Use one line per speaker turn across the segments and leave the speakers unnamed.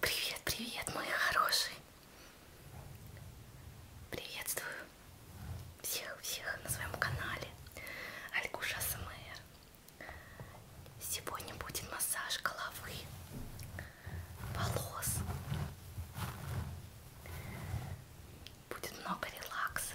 Привет, привет, мои хорошие. Приветствую всех, всех на своем канале. Алькуша СМР. Сегодня будет массаж головы, волос. Будет много релакса.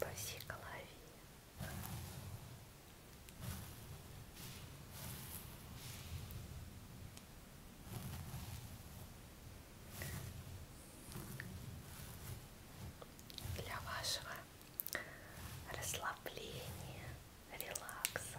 по всей голове для вашего расслабления, релакса.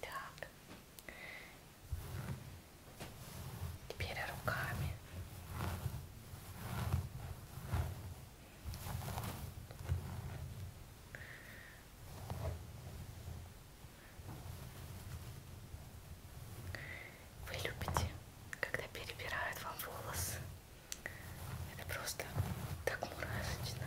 Так. Теперь руками. Вы любите, когда перебирают вам волосы. Это просто так мурашечно.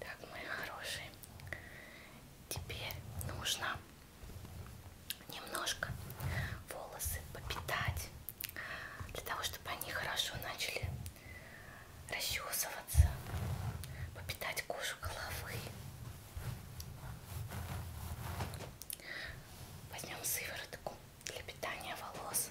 Так, мои хорошие, теперь нужно немножко волосы попитать, для того, чтобы они хорошо начали расчесываться, попитать кожу головы. Возьмем сыворотку для питания волос.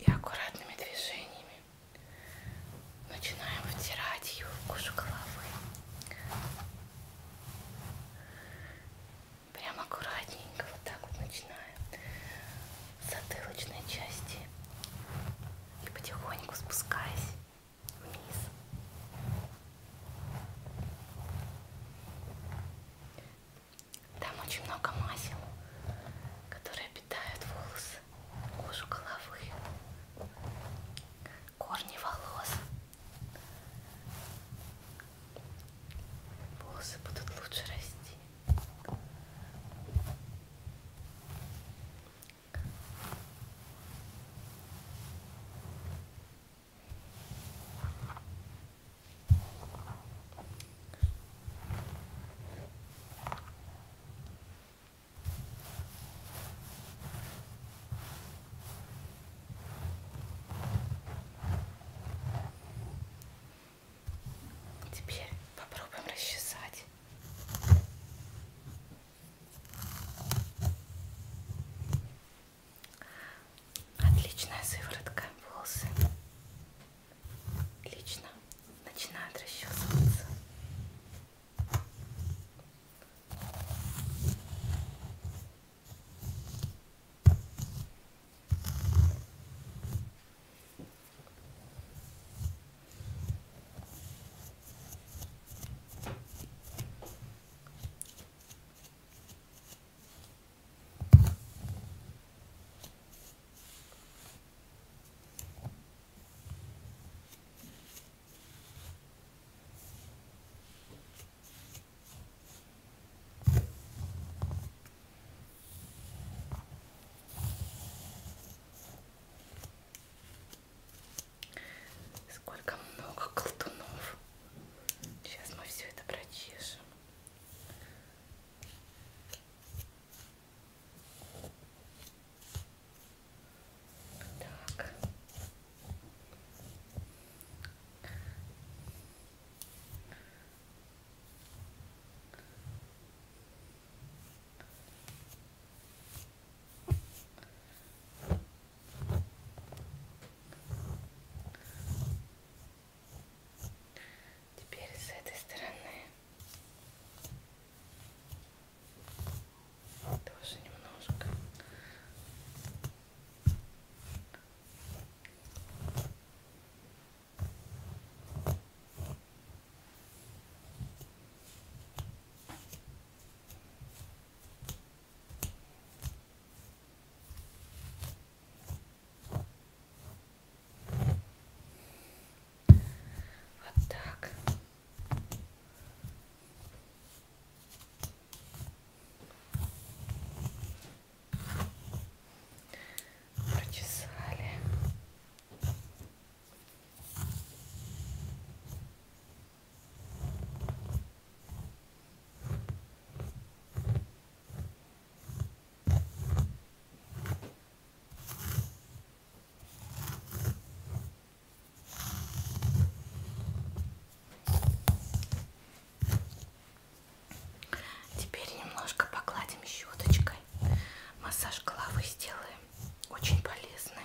И аккуратными движениями начинаем втирать его в кожу головы. Прям аккуратненько вот так вот начинаем с затылочной части и потихоньку спускаясь вниз. Там очень много масел, которые питают волосы, кожу головы, корни волос. Волосы будут лучше расти. Теперь попробуем расчесать. Отличная сыворотка, волосы отлично начинают расчесываться. Сколько много колдунов Сейчас мы все это прочешем. Так. Теперь с этой стороны тоже немножко. Теперь вот так. Прочесали. Теперь немножко погладим щеточкой. Массаж головы сделаем. Очень полезный.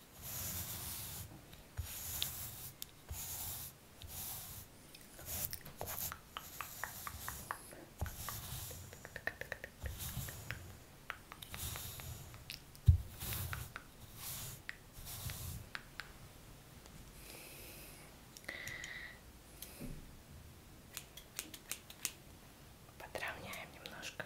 Подравняем немножко.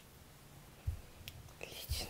Отлично.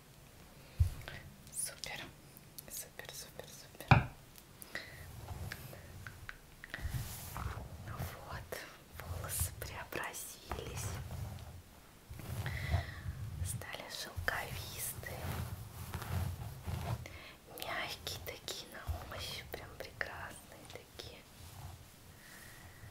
Супер, супер, супер, супер. Ну вот, волосы преобразились, стали шелковистые, мягкие такие на ощупь, прям прекрасные такие.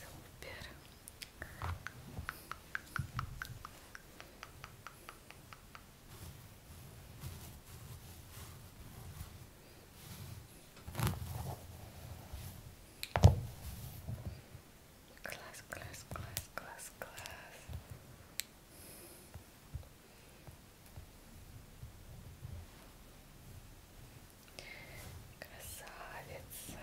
Супер. Класс, класс, класс, класс, класс. Красавица.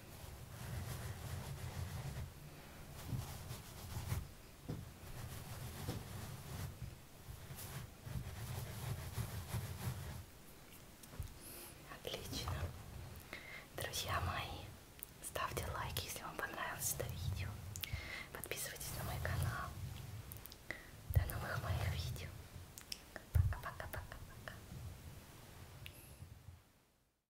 Отлично. Друзья мои, ставьте лайки, если вам понравилось это видео. Подписывайтесь на мой канал. До новых моих видео. Пока-пока-пока-пока.